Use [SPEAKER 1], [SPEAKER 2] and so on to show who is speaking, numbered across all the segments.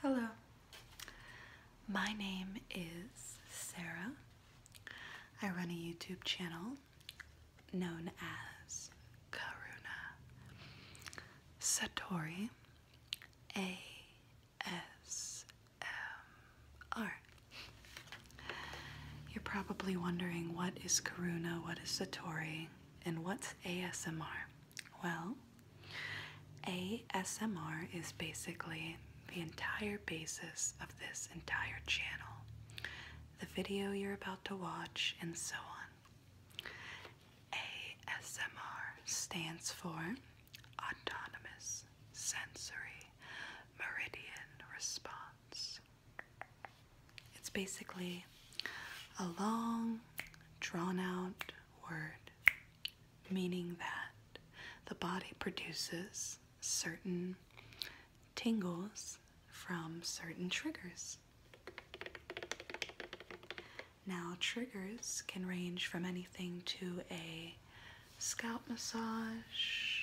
[SPEAKER 1] Hello, my name is Sarah. I run a YouTube channel known as Karuna Satori ASMR. You're probably wondering what is Karuna, what is Satori, and what's ASMR? Well, ASMR is basically the entire basis of this entire channel, the video you're about to watch, and so on. ASMR stands for Autonomous Sensory Meridian Response. It's basically a long, drawn out word, meaning that the body produces certain tingles from certain triggers. Now, triggers can range from anything to a scalp massage,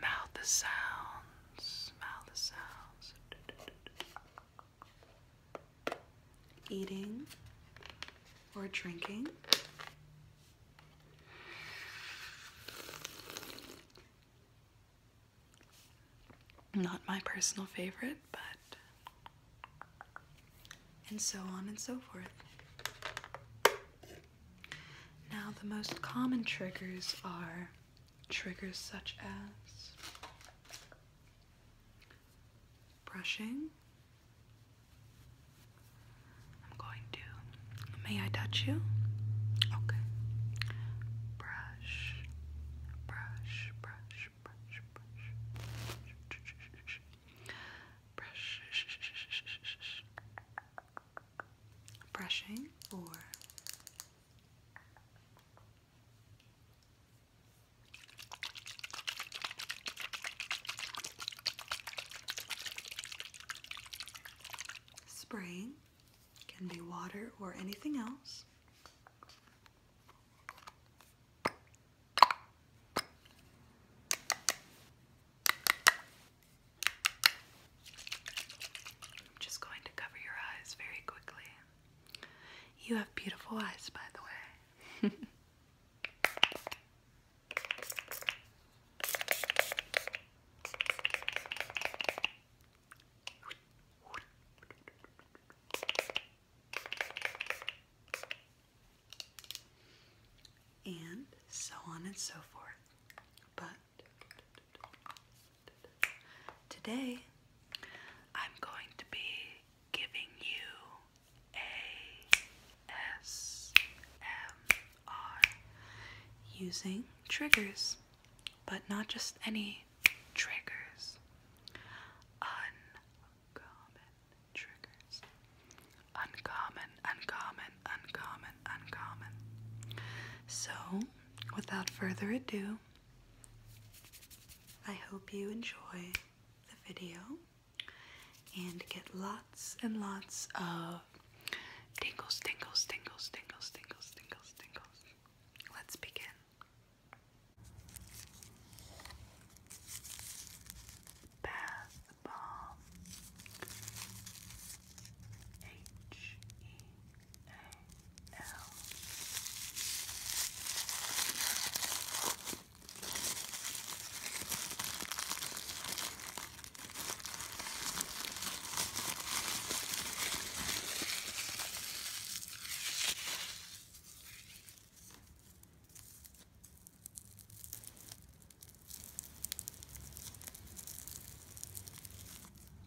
[SPEAKER 1] mouth sounds. Smell the sounds. Eating or drinking. Not my personal favorite, but. And so on and so forth. Now, the most common triggers are Triggers such as brushing. I'm going to. May I touch you? Okay. Brush, brush, brush, brush, brush, brush, brushing or Spraying can be water or anything else. I'm just going to cover your eyes very quickly. You have beautiful eyes, by the way. And so on and so forth. But Today, I'm going to be giving you ASMR using triggers, but not just any triggers. Uncommon triggers. Uncommon, uncommon, uncommon, uncommon. So, without further ado, I hope you enjoy the video and get lots and lots of tingles, tingles, tingles, tingles, tingles, tingles, tingles. Let's begin. Bath Bomb H E I know. I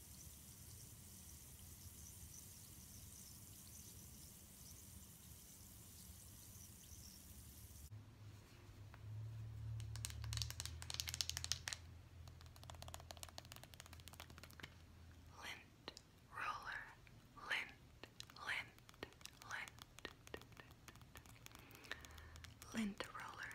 [SPEAKER 1] Lint roller, lint, lint, lint, lint roller.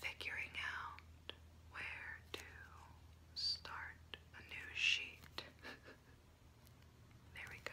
[SPEAKER 1] Figuring out where to start a new sheet. there we go.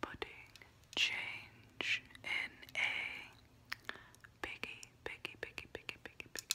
[SPEAKER 1] Putting change in a Piggy, piggy, piggy, piggy, piggy, piggy.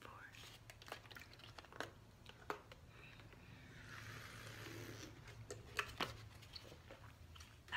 [SPEAKER 1] four. Ah.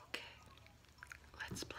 [SPEAKER 1] Okay, let's play.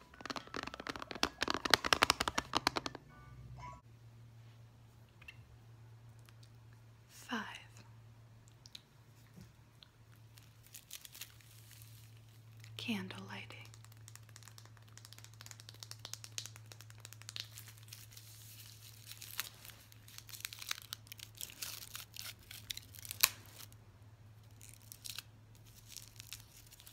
[SPEAKER 1] Five. Candle lighting.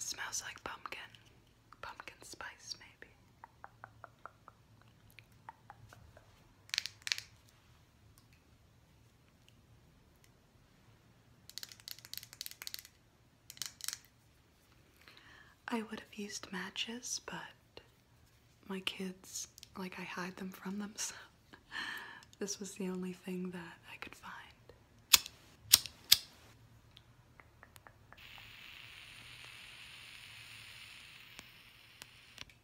[SPEAKER 1] Smells like pumpkin, pumpkin spice, maybe. I would have used matches, but my kids, like, I hide them from them, this was the only thing that I could find.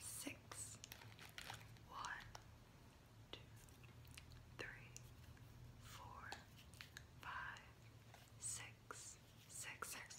[SPEAKER 1] Six, one, two, three, four, five, six, six, six,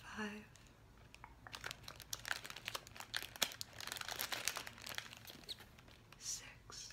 [SPEAKER 1] five, six,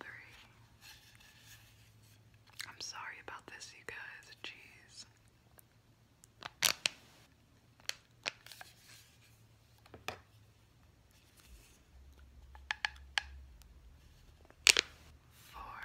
[SPEAKER 1] Three. I'm sorry about this, you guys. Jeez. Four.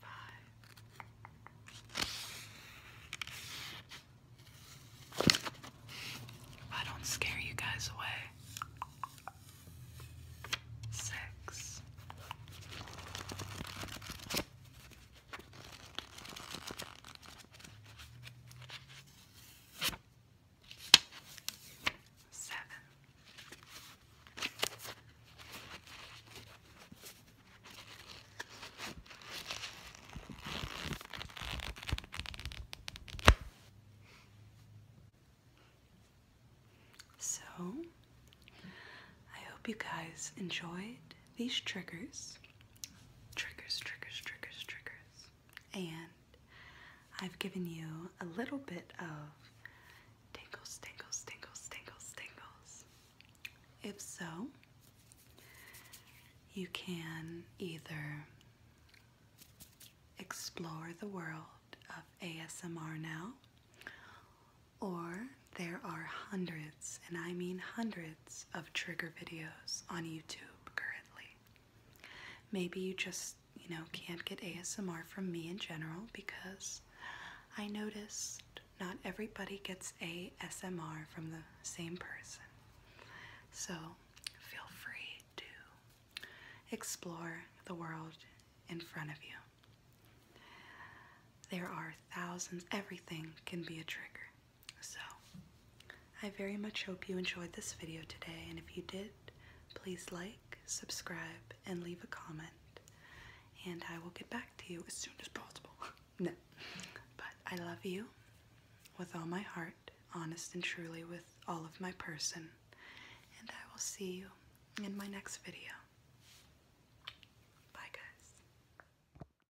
[SPEAKER 1] Five. If I don't scare you guys away. Six. Seven. So, I hope you guys enjoyed these triggers, triggers, triggers, triggers, triggers, and I've given you a little bit of tingles, tingles, tingles, tingles, tingles. If so, you can either explore the world of ASMR now, or there are hundreds, and I mean hundreds of trigger videos on YouTube currently. Maybe you just, you know, can't get ASMR from me in general because I noticed not everybody gets ASMR from the same person. So feel free to explore the world in front of you. There are thousands, everything can be a trigger. So, I very much hope you enjoyed this video today, and if you did, please like, subscribe, and leave a comment. And I will get back to you as soon as possible. no. But I love you with all my heart, honest and truly with all of my person. And I will see you in my next video. Bye, guys.